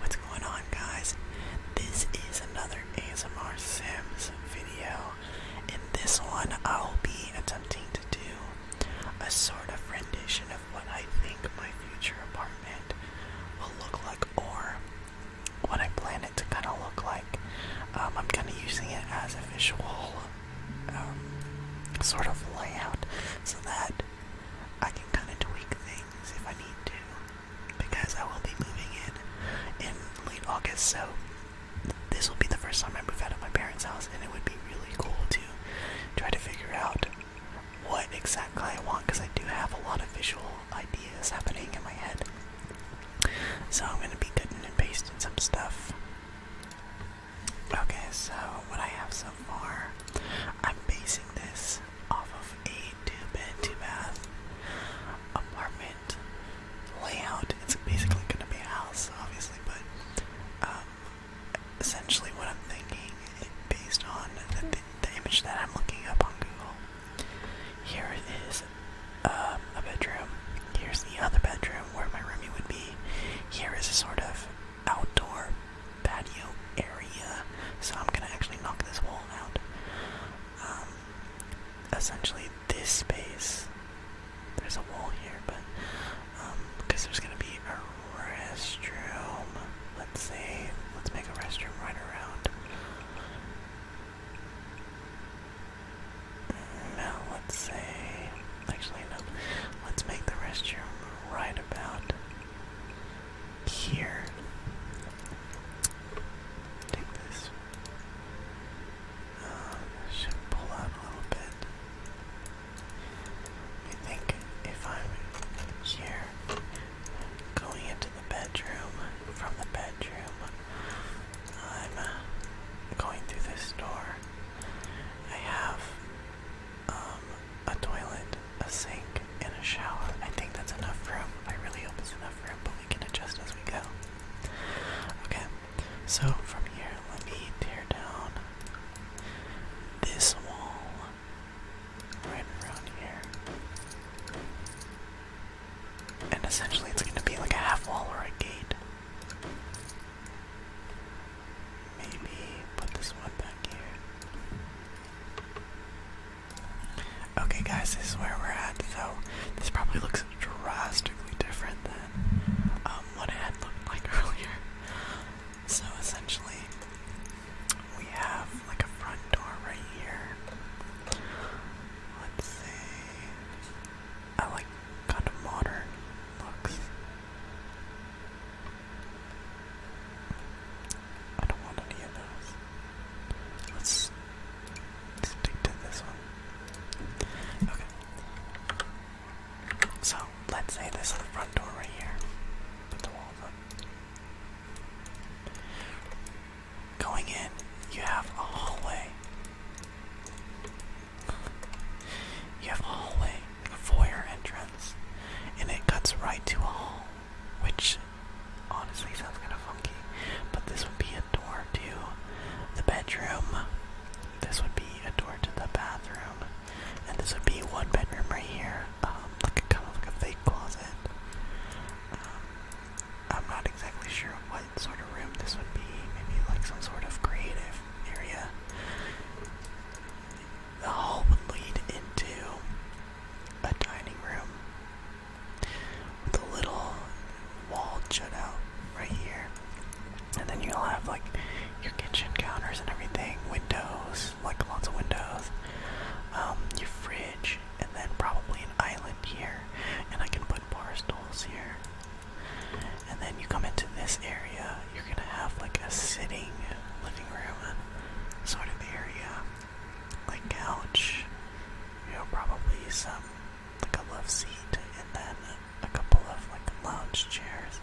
What's going on guys? This is another ASMR Sims video. and this one I'll be attempting to do a sort of rendition of what I think my future apartment will look like or what I plan it to kind of look like. Um, I'm kind of using it as a visual um, sort of layout so that I can kind of tweak things things if I need to, because I will be moving in in late August, so this will be the first time I move out of my parents' house, and it would be really cool to try to figure out what exactly I want, because I do have a lot of visual ideas happening in my head. So I'm gonna be cutting and pasting some stuff. Okay, so what I have so far, I'm basing this off of a two bed, two bath apartment layout. It's basically going to be a house, obviously, but um, essentially what I'm thinking, based on the, the image that I'm looking up on Google, here is um, a bedroom. Here's the other bedroom where my roomie would be. Here is a sort of outdoor patio area, so I'm gonna actually knock this wall out. Um, essentially, this space, there's a wall here, but because um, there's gonna be a restroom. Let's say, let's make a restroom right around. No, let's say, actually no. Let's make the restroom right about here. Take this. Uh, should pull out a little bit. I think if I'm here, going into the bedroom, from the bedroom, I'm uh, going through this door. I have um, a toilet, a sink, and a shower. I think that's enough room. I really hope it's enough room, but we can adjust as we go. Okay, so from here, let me tear down this wall right around here. And essentially, it's going to be like a half wall or a gate. Maybe put this one back here. Okay, guys, this is where we're at. So this probably looks drastically different than um, what it had looked like earlier. So essentially, we have like a front door right here. Let's see. I like kind of modern looks. I don't want any of those. Let's stick to this one. Okay. So, let's say this is the front door right here. Put the walls up. Going in, you have a hallway. You have a hallway, a foyer entrance, and it cuts right to a hall which honestly sounds kind of funky. But this would be a door to the bedroom. This would be a door to the bathroom, and this would be one bedroom right here, um, like a kind of like a fake closet. Um, I'm not exactly sure what sort of room this would be. Maybe like some sort of creative area. The hall would lead into a dining room with a little wall jut out right here. And then you'll have like your kitchen counters and everything, windows, like lots of windows, um, your fridge, and then probably an island here. And I can put bar stools here. And then you come into this area, you're gonna have like a sitting living room sort of area like couch, you know, probably some like couple of seat and then a couple of like lounge chairs,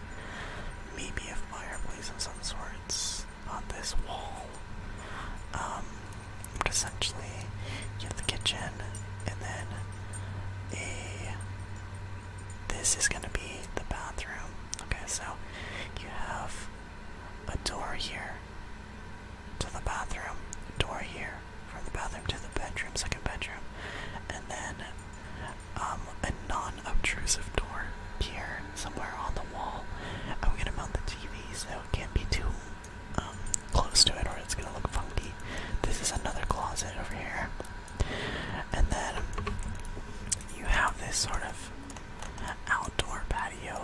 maybe a fireplace of some sorts on this wall. Um, but essentially, you have the kitchen, and then a. This is gonna be the bathroom. Okay, so you have a door here to the bathroom, door here from the bathroom to the bedroom, second bedroom, and then um, a non-obtrusive door here somewhere on the wall. I'm gonna mount the TV so it can't be too um, close to it or it's gonna look funky. This is another closet over here, and then you have this sort of outdoor patio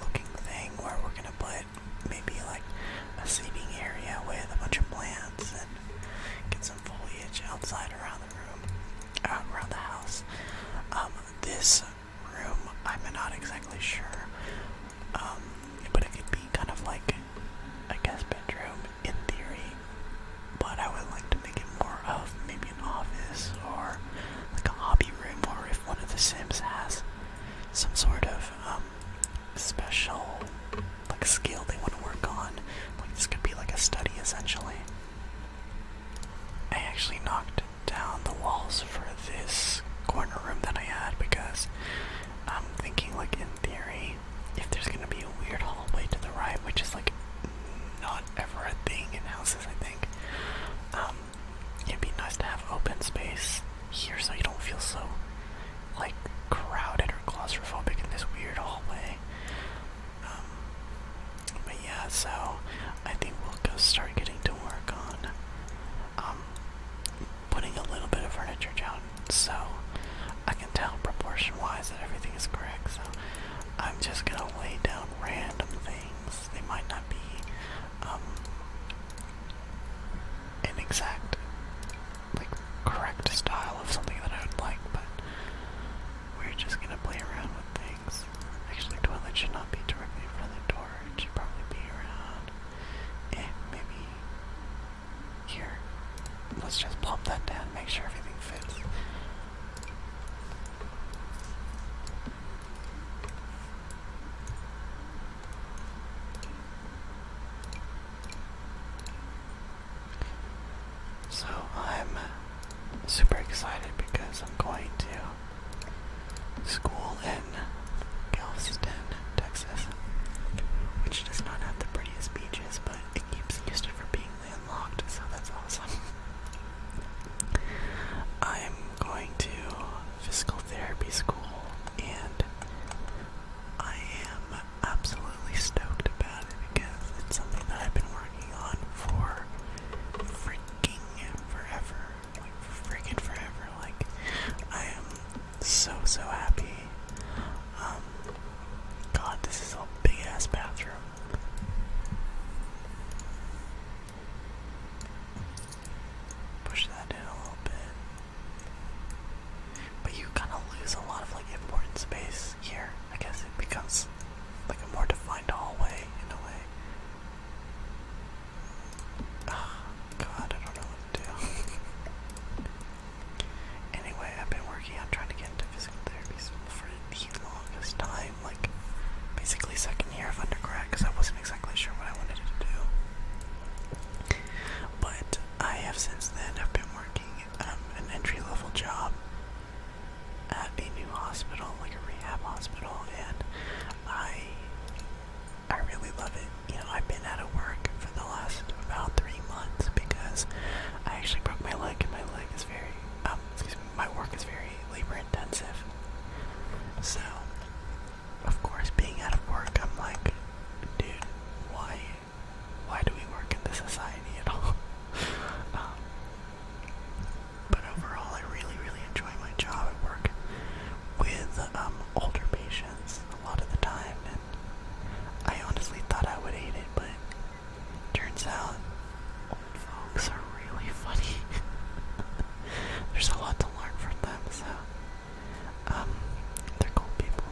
looking thing where we're gonna put maybe like a seating area with a bunch of plants and get some foliage outside around the room, out uh, around the house. Um, this room, I'm not exactly sure, um, but it could be kind of like a guest bedroom in theory. But I would like to make it more of maybe like an office or like a hobby room, or if one of the Sims has some sort of um, special like skill they want to work on, like this could be like a study essentially. I actually knocked down the walls for this corner room that I had because I'm thinking like in theory, if there's gonna be a weird hallway to the right, which is like not ever a thing in houses, I think. Um, it'd be nice to have open space here so you don't feel so, like, crowded or claustrophobic in this weird hallway. Um, but yeah, so I think we'll go start getting to work on um, putting a little bit of furniture down so I can tell proportion wise that everything is correct. So I'm just gonna lay down random things. They might not be um, an exact, like, correct style of something that I would like, but we're just gonna play around with things. Actually, the toilet should not be directly in front of the door. It should probably be around, eh, maybe here. Let's just pump that down, make sure everything fits. So I'm super excited because I'm going to school in Galveston, Texas, which does not have the prettiest beaches, but it keeps used it for being landlocked, so that's awesome. I'm going to physical therapy school and I am absolutely stoked about it because it's something that I've been working on for freaking forever. Like freaking forever. Like I am so so happy. Um God, this is a big ass bathroom. Push that in a little bit. But you kind of lose a lot of like important space here. I guess it becomes like a more defined hallway in a way. Oh, God, I don't know what to do. anyway, I've been working on trying to get into physical therapy school for the longest time, like basically second year of undergrad, because I wasn't exactly sure what I wanted to do. But I have since then have been working um, an entry level job at a new hospital, like a rehab hospital, and I I really love it. You know, I've been out of work for the last about three months because I actually broke my leg, and my leg is very um excuse me, my work is very labor intensive. So, of course, being out of work, I'm like, dude, why, why do we work in this society at all? um, but overall, I really, really enjoy my job at work with um, older patients a lot of the time, and I honestly thought I would hate it, but turns out folks are really funny. There's a lot to learn from them, so um, they're cool people.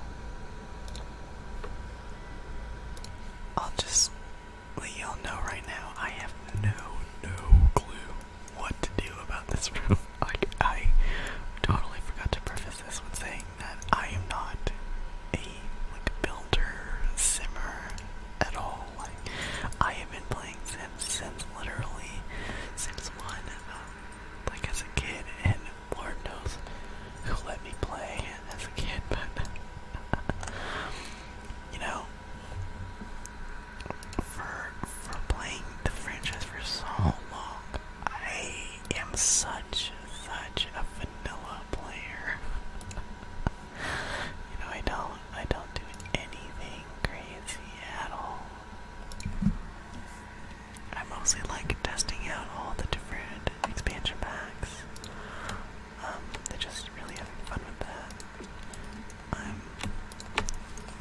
I'll just let y'all know right now. I have no, no clue what to do about this room. Like I totally forgot to preface this with saying that I am not a like builder simmer at all. Like, I have been playing Sims since literally since 1, um, like as a kid, and Lord knows who let me play as a kid, but, you know, for, for playing the franchise for so long, I am such, such a vanilla player. you know, I don't, I don't do anything crazy at all. I mostly like testing out all the different expansion packs. Um, they just really having fun with that. I'm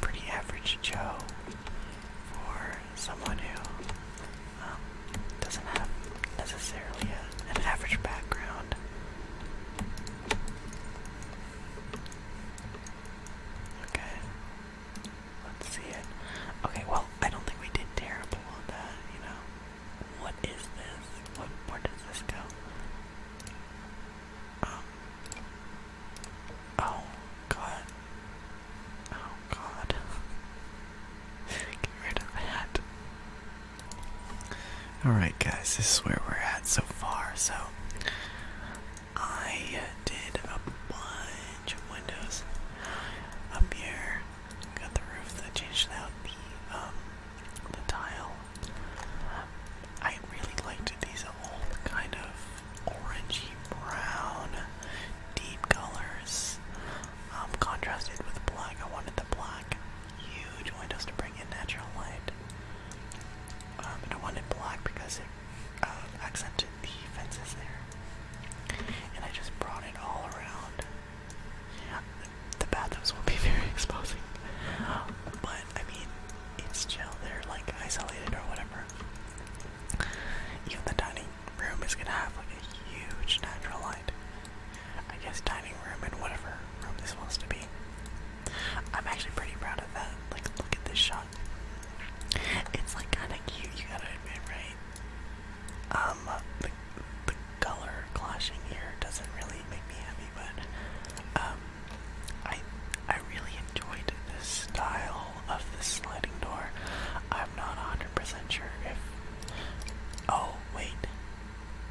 pretty average Joe for someone who um, doesn't have necessarily a, an average background. Okay. Let's see it. Okay, well, I don't think we did terrible on that, you know. What is this? What where does this go? Um Oh god. Oh god. Get rid of that. Alright, guys, this is where we're at so far. So, I did a bunch of windows up here. Got the roof that changed out the, um, the tile. I really liked these old kind of orangey brown deep colors um, contrasted with black. I wanted the black huge windows to bring in natural light. Um, I wanted black because it uh, accented the fences there. And I just brought it all around. The, bathrooms will be very exposing. But, I mean, it's chill. they like, isolated or whatever. Even the dining room is gonna have, like, a huge natural light. I guess dining room and whatever room this wants to be. I'm actually pretty proud of that. Like, look at this shot. It's like kind of cute, you gotta admit, right? Um, the, the color clashing here doesn't really make me happy, but um, I I really enjoyed the style of this sliding door. I'm not 100% sure if. Oh wait,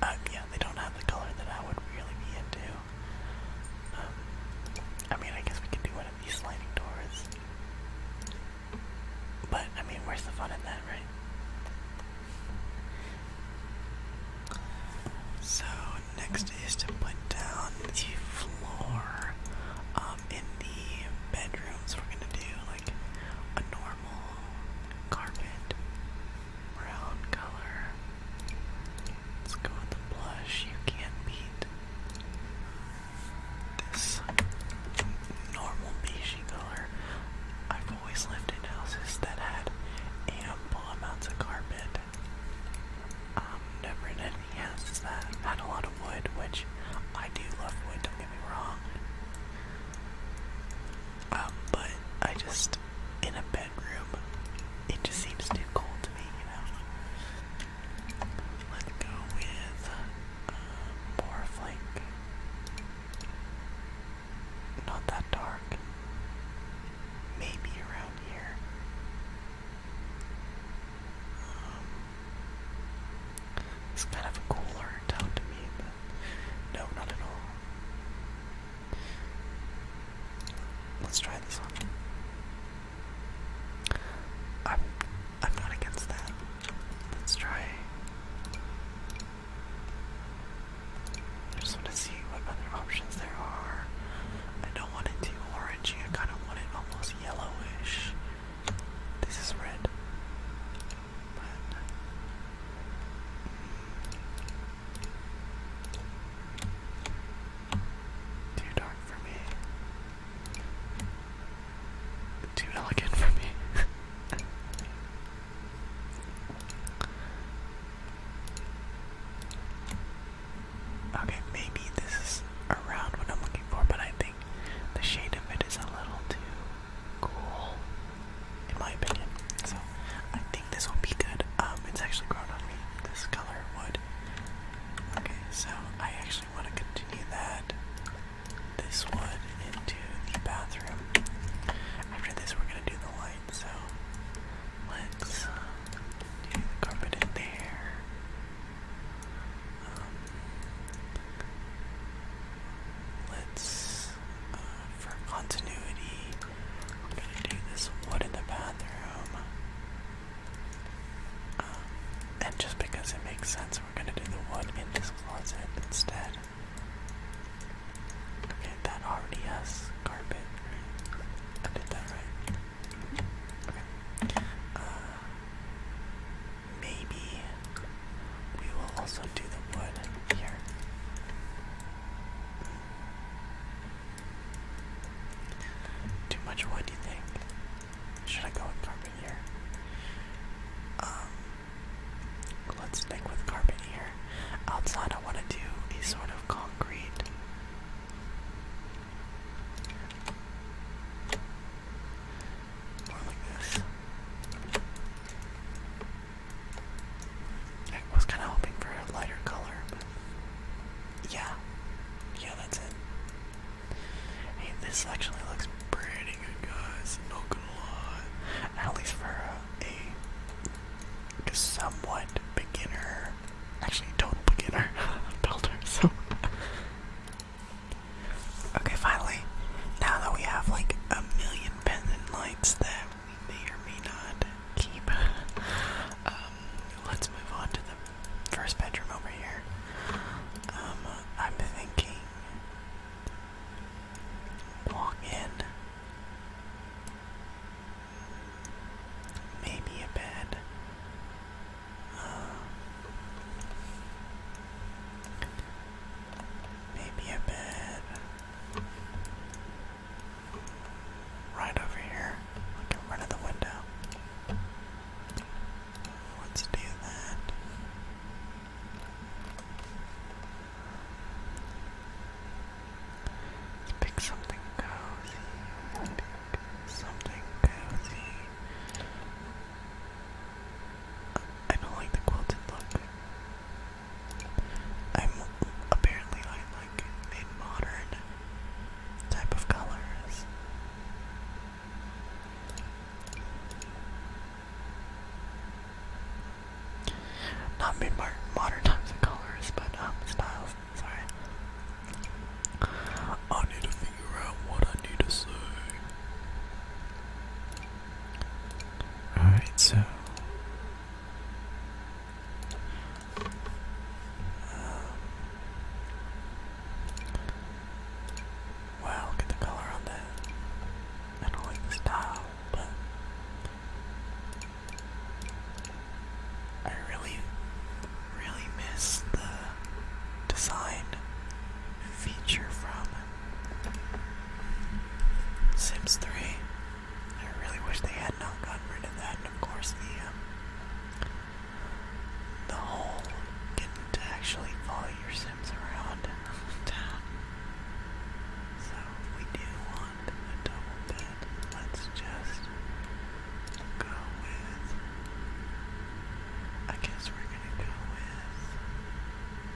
uh, yeah, they don't have the color that I would really be into. Um, I mean, I guess we could do one of these sliding doors. But, I mean, where's the fun in that, right? So, next is to put down the floor um, in the bedrooms. We're gonna do like a normal carpet brown color. Let's go with the blush. You can't beat this normal beigey color. I've always lived in houses that had ample amounts of carpet. Um, never in any houses that had a lot of wood, which I do love wood, don't get me wrong. Um, but I just in a bedroom. It just seems too cold to me, you know. Let's go with uh, more of like not that dark. Maybe around here. Um, it's kind of cooler tone to me, no, not at all. Let's try this one. I'm I'm not against that. Let's try. I just want to see what other options there are. I don't want it too orangey. I kind of want it almost yellowish. This is red. Too dark for me. Too elegant for me. okay, maybe this is around what I'm looking for, but I think the shade of it is a little too cool in my opinion. So I think this will be good. Um, it's actually grown on me. This color would. Okay, so I actually want to continue that this wood into the bathroom. After this, we're gonna do the light. So let's um, do the carpet in there. Um, let's for continuity. I'm gonna do this wood in the bathroom. Um, and just because it makes sense, we're gonna do the wood in this closet instead. Okay, that already has carpet. I did that right. Okay. Uh, maybe we will also do the wood here. Too much wood, do you think? Should I go with carpet here? Um, let's stick with carpet here. Outside, I want to do a sort of concrete. More like this. I was kind of hoping for a lighter color, yeah, yeah, that's it. Hey, this actually looks pretty good, guys. Not gonna lie, at least for a, a somewhat beginner, actually total beginner builder. So. Okay, finally, now that we have like a million pendant lights there we may not keep. Um, let's move on to the first bedroom over here. Um, I'm thinking walk in. Maybe a bed. Uh, maybe a bed. Right over here. Get rid of the window. Let's do that. Let's pick something cozy. something cozy. I don't like the quilted look. I'm apparently i like in modern type of colors. Not mid modern types of colors, but um, styles. Sorry. I need to figure out what I need to say. Alright, so um, wow, look the color on that. I don't like the style, but I really, really miss the design feature from Sims 3. I really wish they had not gotten rid of that, and of course the um, the hole getting to actually follow your Sims around in the town. So we do want a double bed, let's just go with. I guess we're gonna go with.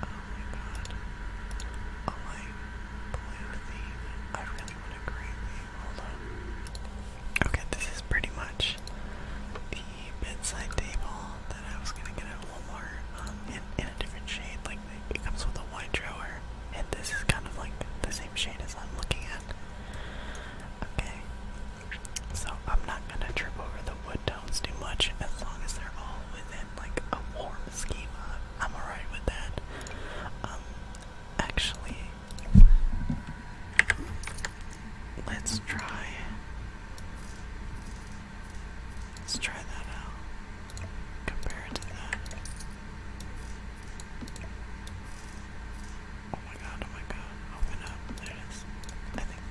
Oh my god. A light blue theme. Okay, this is pretty much the bedside table that I was gonna get at Walmart, um, in, in a different shade. Like, it comes with a white drawer, and this is kind of like the same shade as I'm looking at. Okay, so I'm not gonna trip over the wood tones too much, as long as they're all within like a warm schema. I'm alright with that. Um, Actually, let's try. Let's try that out. Compare to that. Oh my god, oh my god. Open up. There it is. I think.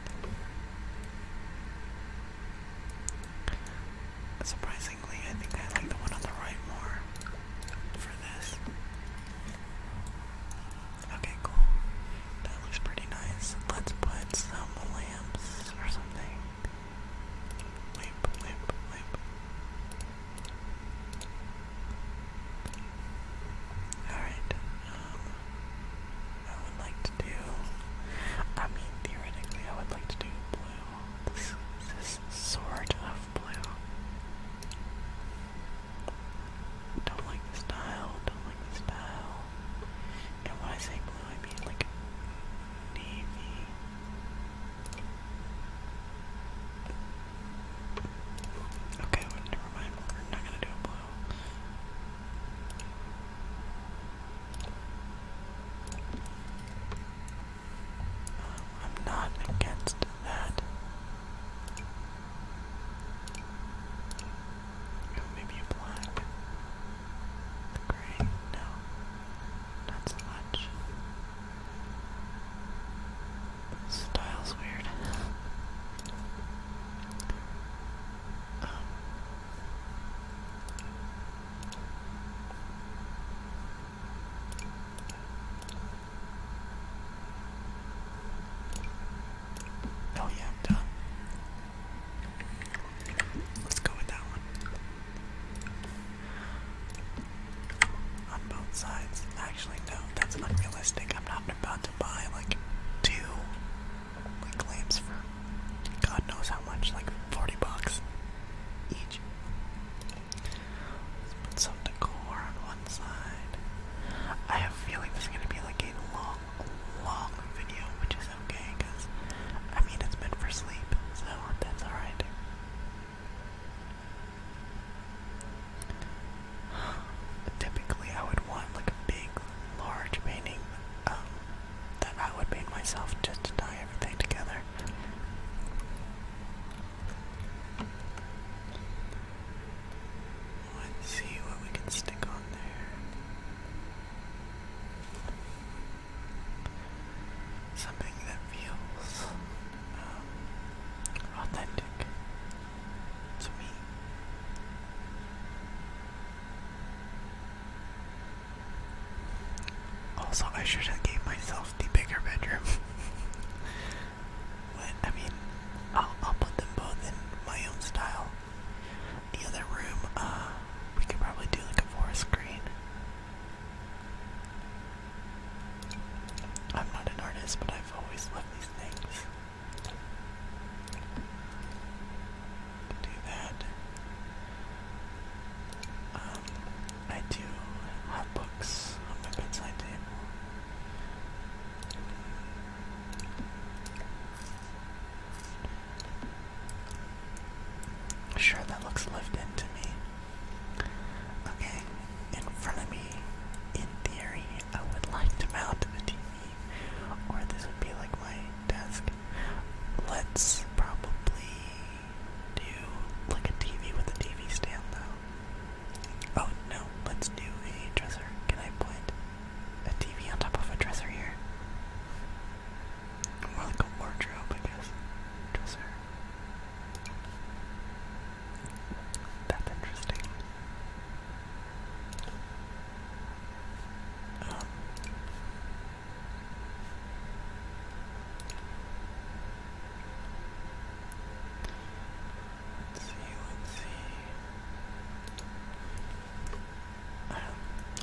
Surprisingly, I think I like the one on the right more for this. Okay, cool. That looks pretty nice. Let's put some lamps or something. Lamp, lamp, lamp. Alright, um, I would like to do, I mean, theoretically, I would like to do blue. This, this sort of blue. Don't like the style, don't like the style. And when I say blue, I mean like navy. Okay, never mind. We're not gonna do blue. I'm not against that. maybe black. The gray? No. Not so much. style's weird. um. Oh yeah, I'm done. Let's go with that one. On both sides. Actually, no, that's unrealistic. I'm not about to buy like two like lamps for God knows how much, like 40 bucks each put some decor on one side. I have a feeling this is gonna be like a long, long video, which is okay, because I mean it's meant for sleep, so that's alright. Typically, I would want like a big, large painting um, that I would paint myself just to tie everything together. Let's see what we can stick on there. Something that feels um, authentic to me. Also, I should have gave myself the bigger bedroom. I mean, I'll, put them both in my own style. The other room, uh, we could probably do like a forest green. I'm not an artist, but I've always loved these things. Do that. Um, I do have books on the bedside table. Sure, that looks lived in to me. Okay, in front of me, in theory, I would like to mount a TV, or this would be like my desk. Let's probably do like a TV with a TV stand though. Oh no, let's do a dresser. Can I put a TV on top of a dresser here? More like a wardrobe, I guess. Dresser. That's interesting. Um, Let's see, let's see.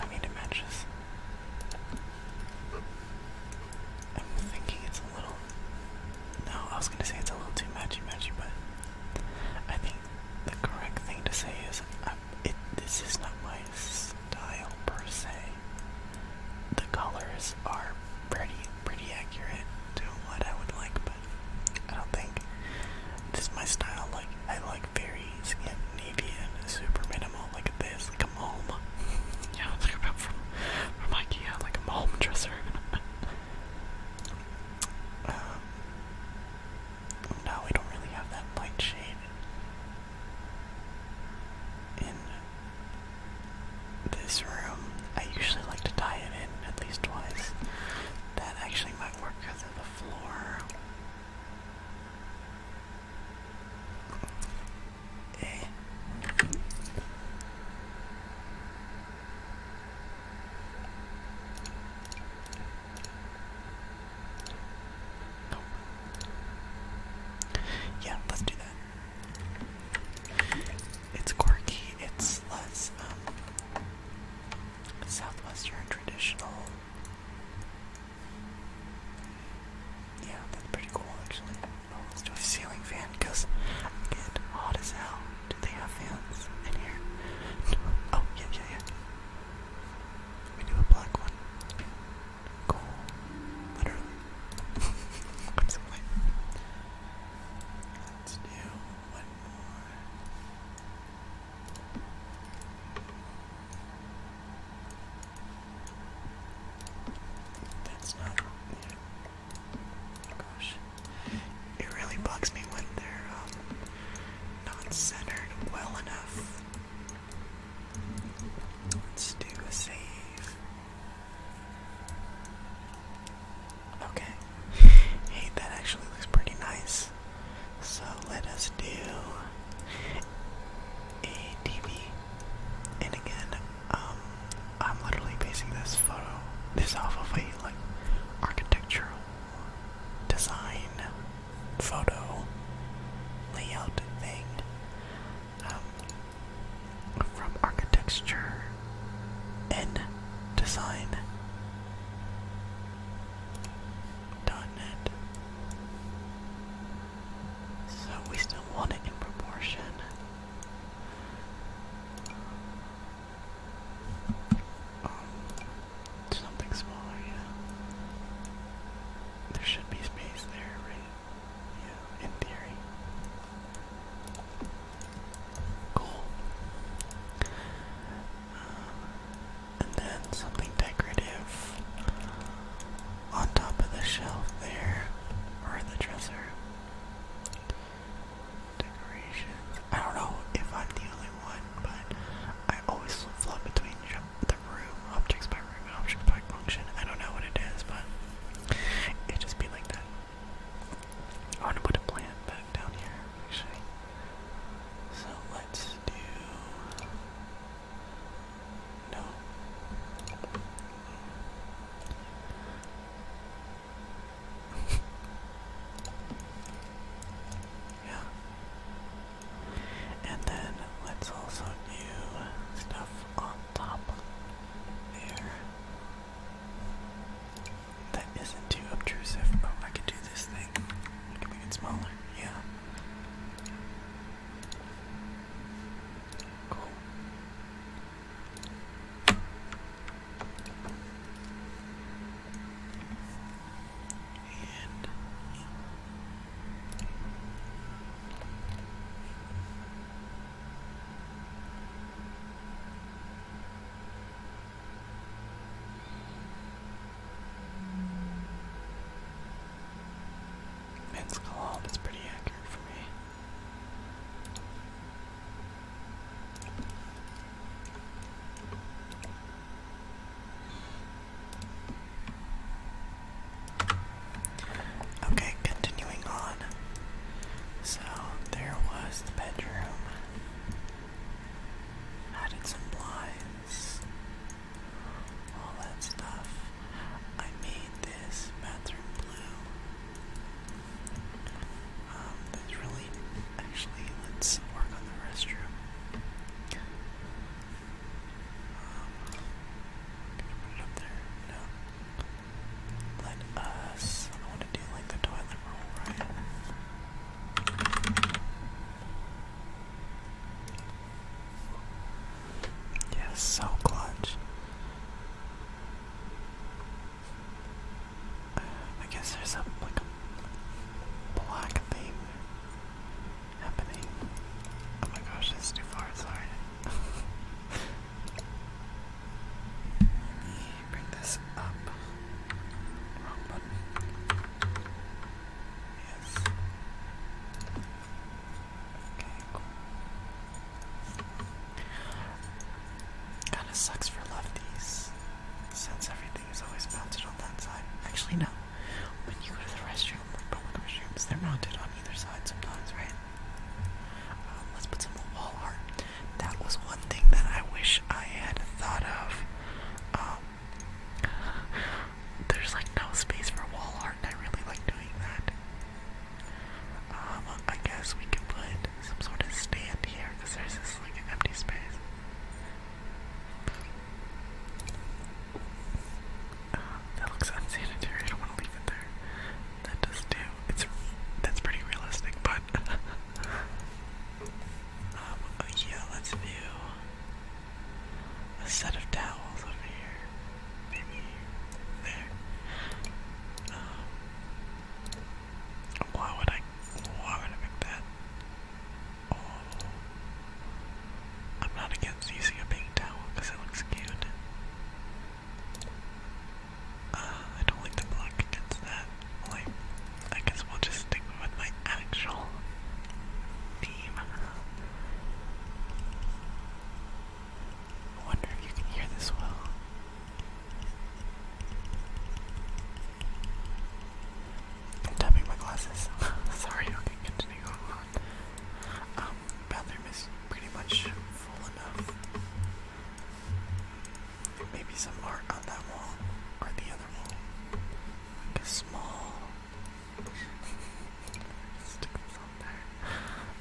I need to match I'm thinking it's a little. No, I was gonna say it's a little too matchy matchy, but I think the correct thing to say is, um, This is not my style per se. The colors are pretty pretty accurate to what I would like, but I don't think this is my style. Like I like very Scandinavian, super minimal, like this, like a mom. yeah, like about from from IKEA, like a mom dresser. um, no, we don't really have that light shade in this room. I usually like to tie it in at least twice. That actually might work because of the floor. Eh. Yeah, let's do that. It's quirky, it's less um, southwestern traditional. Yeah, that's pretty cool actually. Oh, let's do a ceiling fan it's hot as hell. Do they have fans in here? Oh, yeah, yeah, yeah. We do a black one. Cool. Literally. Let's do one more. That's not, Oh gosh. It really bugs me when they're not centered well enough. Let's do a save. Okay. Hey, that actually looks pretty nice. So let us do a TV. And again, um, I'm literally basing this photo, this off of a like architectural design photo layout thing. Um, from architecture and design .net. So we still want it in proportion. Um, something smaller, There should be space there, yeah, in theory. Cool. Um, and then something decorative on top of the shelf there, or the dresser. Decorations. I don't know if I'm the only one, but I always flip flop between the room objects function. I don't know what it is, but it just be like that. I want to put a plant back down here, actually. So let's do. No. yeah. And then let's also do stuff on top. There. That isn't too obtrusive. Oh, I can do this thing. can make it smaller. Yeah. And Vince Colomb is pretty accurate for me. Okay, continuing on. So, there was the bedroom. Added some blinds. All that stuff. I made this bathroom blue. Um, that's really. Actually, let's work on the restroom. Um, put it up there? No. Let us. I want to do like the toilet roll, right? Yeah, so clutch. I guess there's a like a black theme happening. Oh my gosh, that's too far. Sorry. Let me bring this up. Wrong button. Yes. Okay, Kinda sucks for lefties. Since everything is always mounted on that side. Actually no. When you go to the restroom, like public restrooms, they're mounted on either side sometimes, right? Um, let's put some wall art. That was one thing that I wish I had thought of. Um, there's like no space for wall art, and I really like doing that. Um, I guess we can put some sort of stand here because there's this like empty space that looks unsanitary. I don't want to leave it there. That does too. It's that's pretty realistic, but um, uh, yeah. Let's do a set of towels over here. Maybe there. Um, why would I? Why would I pick that? Oh, I'm not against using a pink towel because it looks cute. Uh, I don't like to block against that. Well, I, guess we'll just stick with my actual team. wonder if you can hear this well. I'm tapping my glasses. Sorry, okay, continue going on. Um, bathroom is pretty much Maybe some art on that wall or the other wall. small. Stick on there.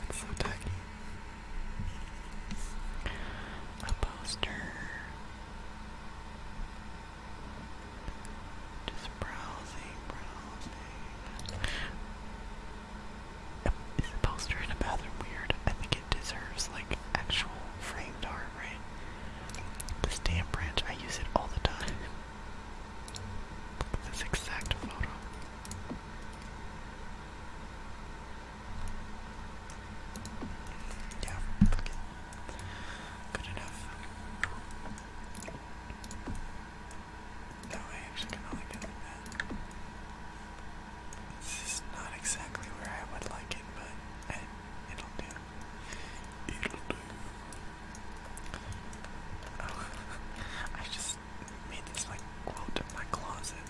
That's so tacky. A poster. Just browsing, browsing. Is poster in a bathroom weird? I think it deserves like actual framed art, right? This damn branch, I use it all the time. this exact photo. Yeah, Good enough. No, I actually cannot like it that. This is not exactly where I would like it, but it'll do. It'll do. Oh, I just made this like quote in my closet,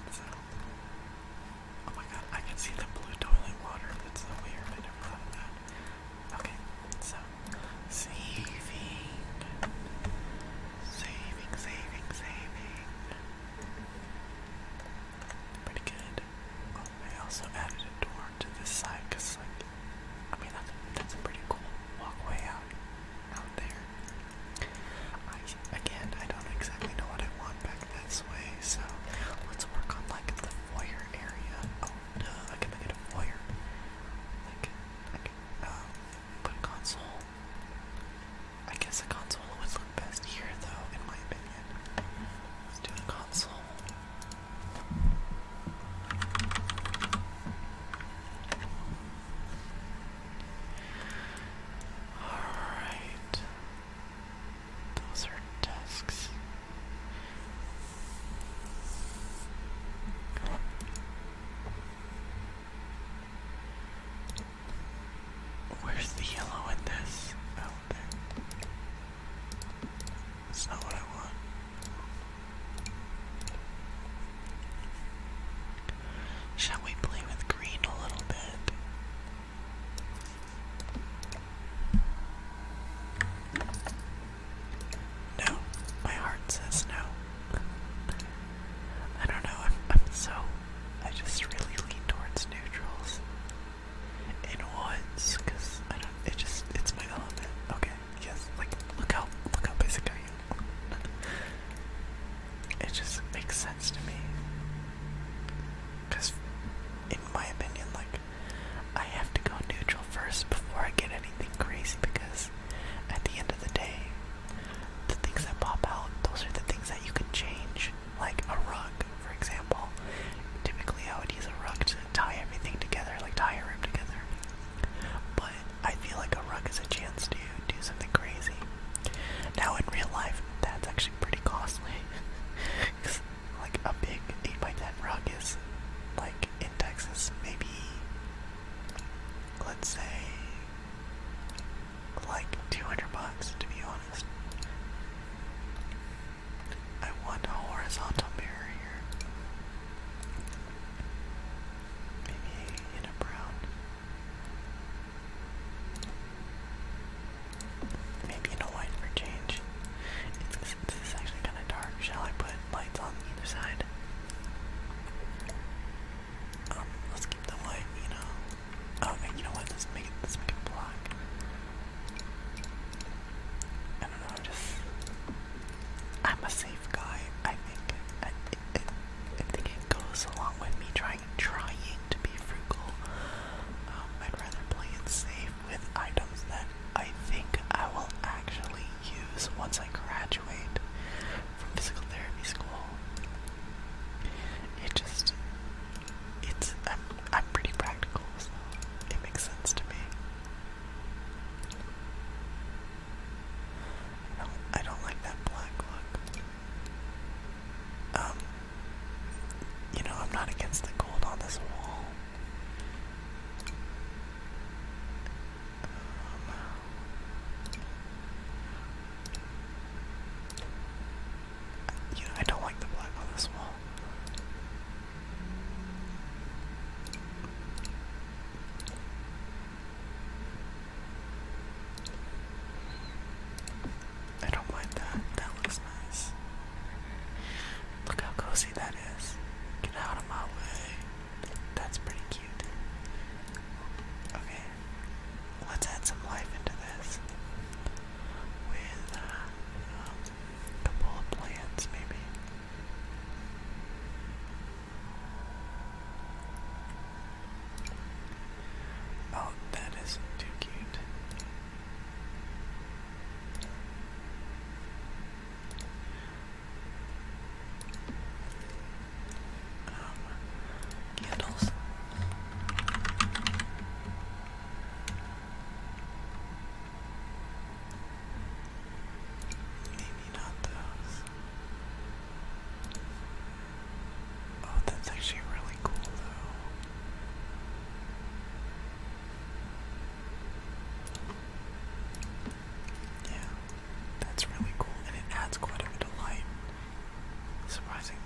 Oh my god, I can see the blue toilet water. That's so weird. I never thought that. Okay, so saving Saving, saving, saving. Pretty good. Oh, I also added a door to this side because, like, I mean, that's, that's a pretty cool walkway out, out there. I, again, I don't exactly know what I want back this way, so let's work on, like, the fire area. Oh, no, I can make it a fire. Like, I can, um, put a console I guess a console would look best here, though, in my opinion. Let's do a console. Alright. Those are desks. Where's the yellow in this? That's not what I want. Shall we play with green a little bit? No, my heart says no. I don't know, I'm, so. I just really lean towards neutrals and woods, cause I don't. It just it's my element. Okay, yes. Like look how look how basic I am. it just makes sense to me, cause in my opinion, like I have to go neutral first before I get anything crazy, because at the end of the day, the things that pop out, those are the things that you can change. Like a rug, for example. Typically, I would use a rug to tie everything together, like tie a room together. But I feel like a rug is a chance to do something crazy. Now, in real life, that's actually pretty costly. Because, like, a big 8x10 rug is, like, in Texas, maybe, let's say, like 200 bucks to be honest. I want a horizontal mirror Maybe in a brown. Maybe in a white for change. It's, this is actually kind of dark. Shall I put lights on either side? Um, let's keep them light, you know. Oh, and you know what? Let's make it. Let's make it black. I don't know. I'm just. I'm a safe guy. I think. I, it, it, I think it goes along with me trying trying to be frugal. Um, I'd rather play it safe with items that I think I will actually use once I graduate from physical therapy school. It just, it's, I'm, I'm pretty practical, so it makes sense to me. I don't, I don't like that black look. Um, you know, I'm not against the gold on this wall. I don't like the black on this wall. I don't mind that. That looks nice. Look how cozy that is. Get out of my way. That's pretty cute. Okay, let's add some life into this with um, a couple of plants, maybe. Oh, that is too cute candles. Maybe not those. Oh, that's actually really cool though. Yeah, that's really cool, and it adds quite a bit of light. Surprising.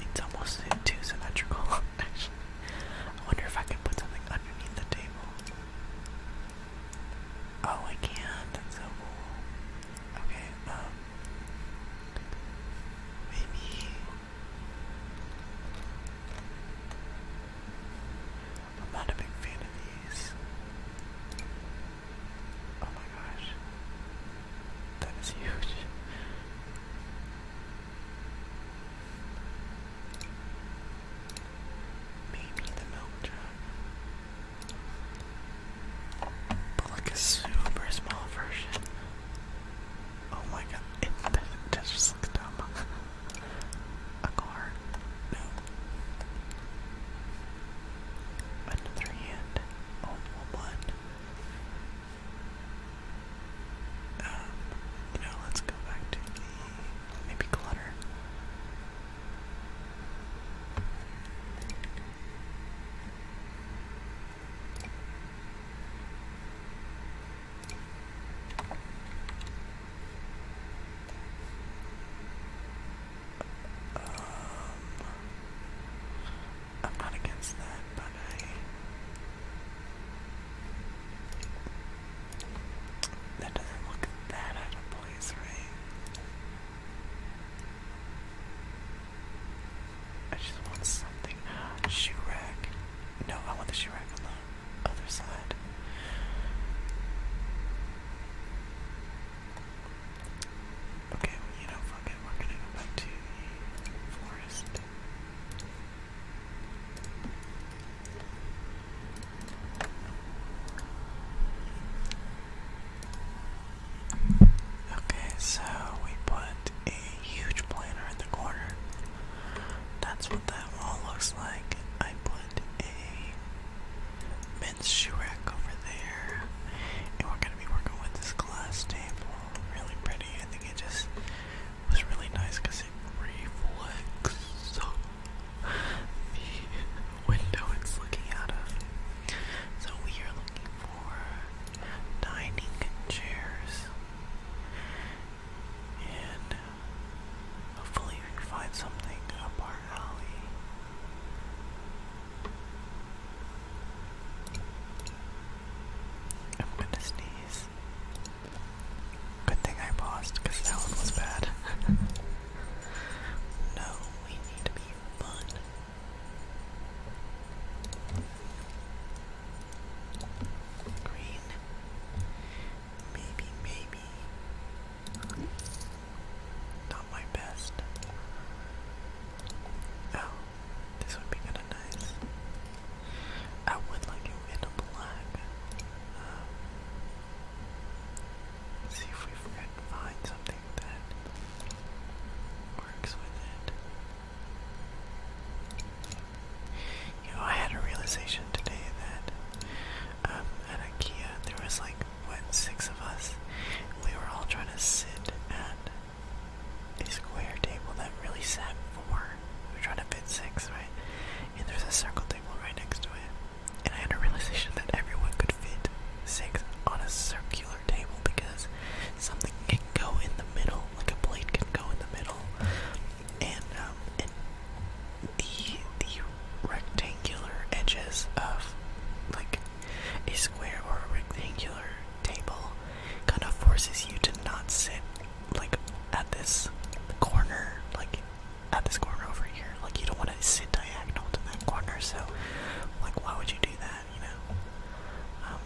it's almost too symmetrical, actually. I wonder if I can put something underneath the table. Oh, I can. That's so cool. Okay, um, Maybe I'm not a big fan of these. Oh my gosh. That is huge. Maybe the milk jug. But like a super small version. Oh my god, it, just looks dumb. A card? Another hand. Oh, one. Um, you know, let's go back to maybe clutter. Um, I'm not against that, but I. That doesn't look that out of place, right? I just want something. Shoe rack. No, I want the shoe rack on the other side. Okay, you know, fuck it. We're gonna go back to the forest. Okay, so we put a huge planter in the corner. That's what that wall looks like. I put a men's shoe rack over there. And we're gonna be working with this glass table. Really pretty. I think it just was really nice it reflects the window it's looking out of. So we are looking for dining chairs. And hopefully we find something up our I'm gonna sneeze. Good thing I paused because that one was bad. no, we need to be fun. Green. Maybe, maybe. Not my best. Oh, this would be kinda nice. I would like it in a black. Um, see if we can find something that works with it. You know, I had a realization today that um, at IKEA there was like what six of us. We were all trying to sit at a square table that really sat four. We We're trying to fit six, right? And there's a circle table right next to it. And I had a realization that everyone could fit six on a circular smaller table because something can go in the middle, like a plate can go in the middle, and um, and the the rectangular edges of like a square or a rectangular table kind of forces you to not sit like at this corner, like at this corner over here. Like you don't want to sit diagonal to that corner, so like why would you do that? You know. Um,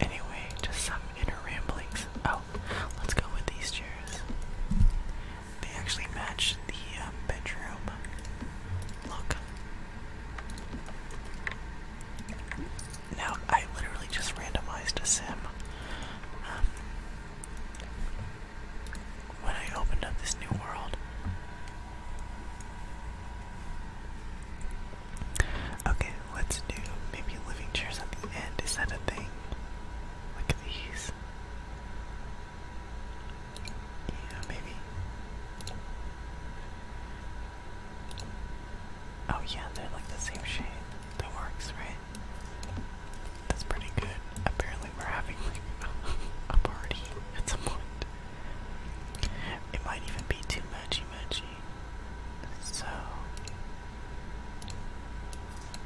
Anyway, just some inner ramblings. Oh, let's go with these chairs. They actually match the um, bedroom. Look. Now, I literally just randomized a sim. Um, when I opened up this new world, Okay, let's do maybe living chairs at the end. Is that a thing? Look at these. Yeah, maybe. Oh yeah, they're like the same shade. That works, right? That's pretty good. Apparently we're having like a party at some point. It might even be too much, much energy. So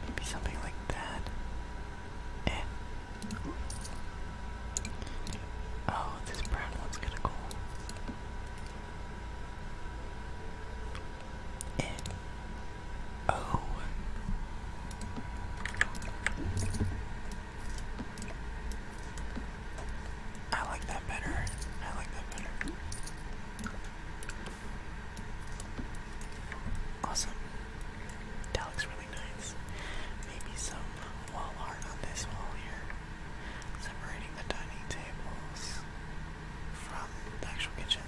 maybe something like that. Eh. Oh, this brown one's gonna go. Eh. Oh. I like that better. I like that better. Awesome. That looks really nice. Maybe some wall art on this wall here. Separating the dining tables from the actual kitchen.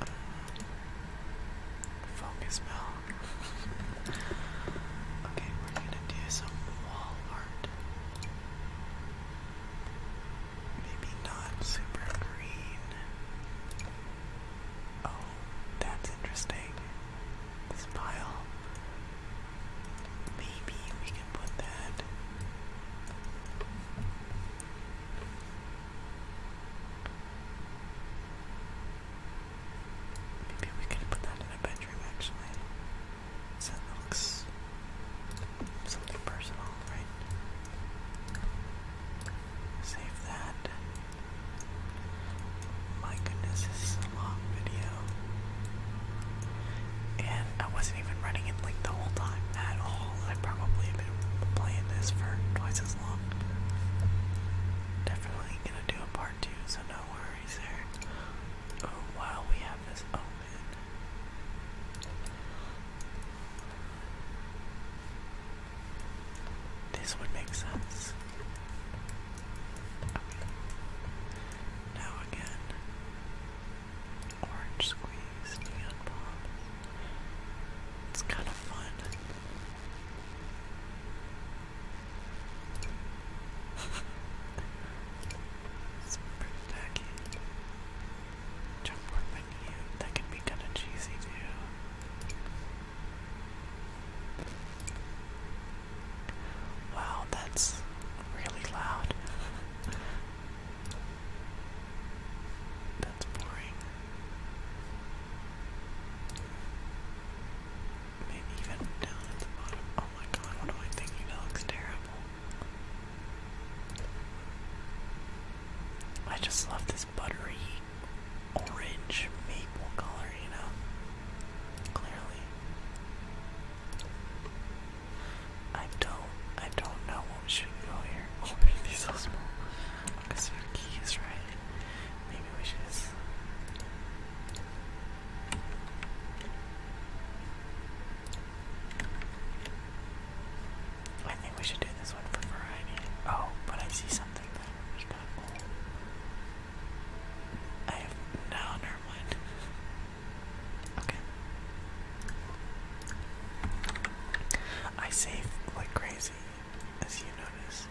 Uh, focus bell. Okay, we're gonna do some wall art. Maybe not super green. Oh, that's interesting. This pile. Maybe we can put that. Maybe we could put that in a bedroom actually. that looks something personal, right? Save that. My goodness, this is a long video. And I wasn't even running it like the whole time at all. I probably have been playing this for twice as long. Definitely gonna do a part two, so no worries. Oh wow, we have this open. This would make sense. Now again, orange squeeze, neon pop. It's kind of fun. Let's bring it on my That can be kind of cheesy too. Wow, that's really loud. that's boring. Maybe even down at the bottom. Oh my god, what am I thinking? It looks terrible. I just love this buttery orange maple color, you know? Clearly. I don't I don't know what should go here. Oh, these so small. Because the key is right. Maybe we should just I think we should do this one for variety. Oh, but I see something that is I have no, never mind. Okay. I save like crazy, as you notice.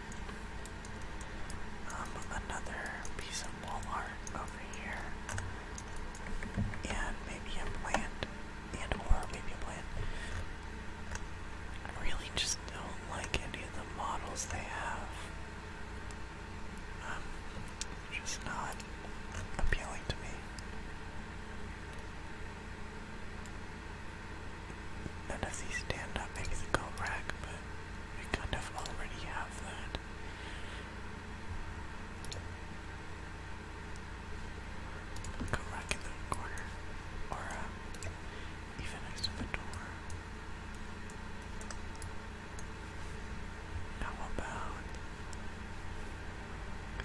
Um, another piece of wall art over here, and maybe a plant, and or maybe a plant. I really just don't like any of the models they have. Um, just not appealing to me. None of these stand up, maybe the I kind of already have that. Go back in the corner, or uh, even next to the door. How about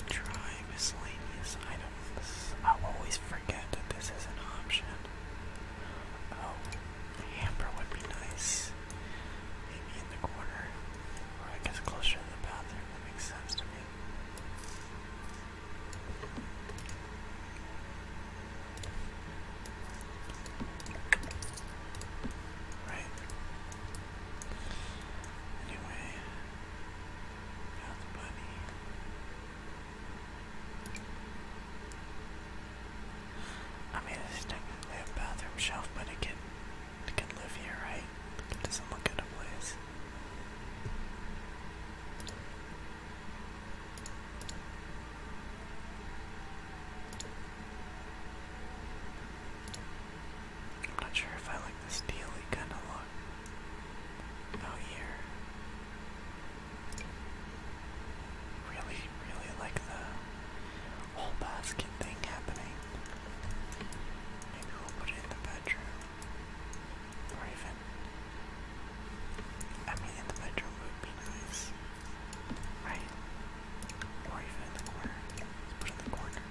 try miscellaneous items? I always forget that this is an option. Oh, the hamper would be nice. Maybe in the corner. Or I guess closer to the bathroom. That makes sense to me. Right. Anyway. Got the bunny. I mean, it's technically a bathroom shelf, but it can, it can live here, right? It doesn't look out of place. I'm not sure if I like this steely kind of look out oh, here. Really, really like the whole basket thing happening. Maybe we'll put it in the bedroom. Or even. I mean, in the bedroom would be nice. Right? Or even in the corner. Let's put it in the corner.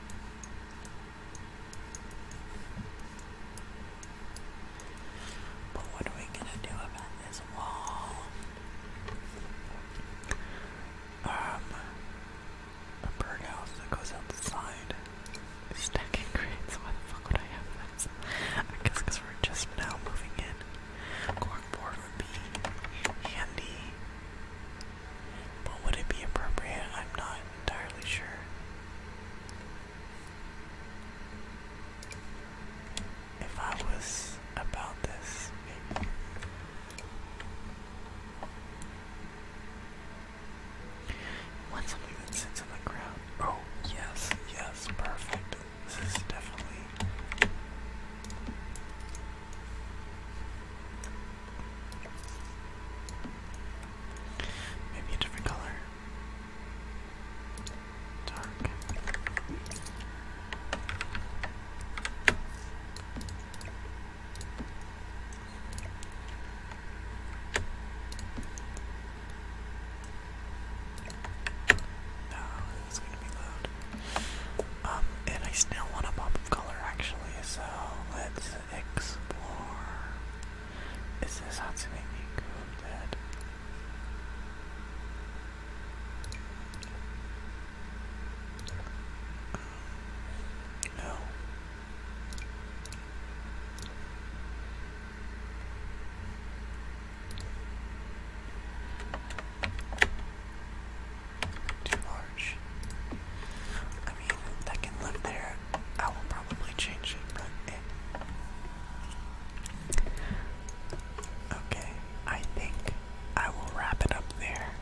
But what are we gonna do about this wall? Um, a birdhouse that goes outside. Stacking crates, why the fuck would I have this? I guess we're just now moving in. Corkboard would be handy. But would it be appropriate? I'm not entirely sure if I was about this, maybe. want something that sits on the ground? Oh, yes, yes, perfect. This is definitely. Maybe a different color dark. No, it's gonna be loud. Um, and I still want a pop of color actually, so let's explore. Is this Hatsune Miku no. Too large. I mean, that can live there. I will probably change it, Okay, I think I will wrap it up there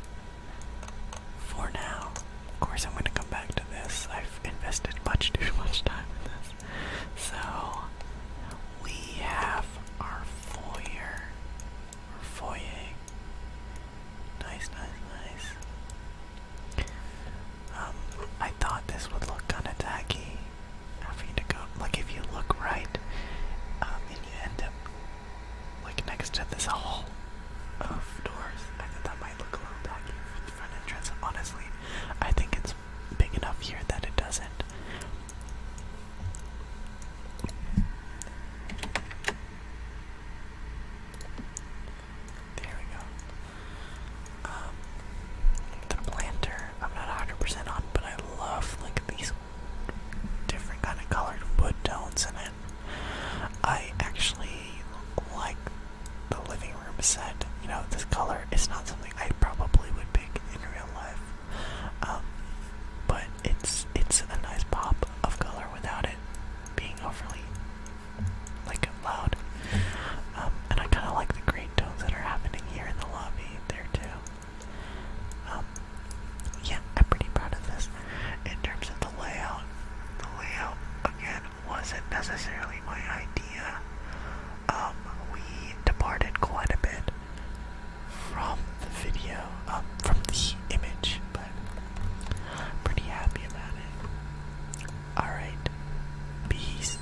for now. Of course, I'm going to come back to this. I've invested much too much time in this. So, we have our foyer. foyer. Nice, nice, nice. Um, I thought this would look kind of tacky having to go. Like, if you look right, um, and you end up like next to this hall of doors, I think that might look a little tacky for the front entrance. Honestly, I think it's big enough here that it doesn't. There we go. Um, the planter, I'm not 100% on, but I love like these different kind of colored wood tones in it. I actually like the living room set. You know, this color is not something I probably would pick in real life, um, but it's it's a nice pop of color without it being overly like loud. Um, and I kind of like the green tones that are happening here in the lobby there too. Um, yeah, I'm pretty proud of this. In terms of the layout, the layout again wasn't necessarily my idea. Um, we departed quite a bit from the video, um, from the image, but pretty happy about it. Alright, peace.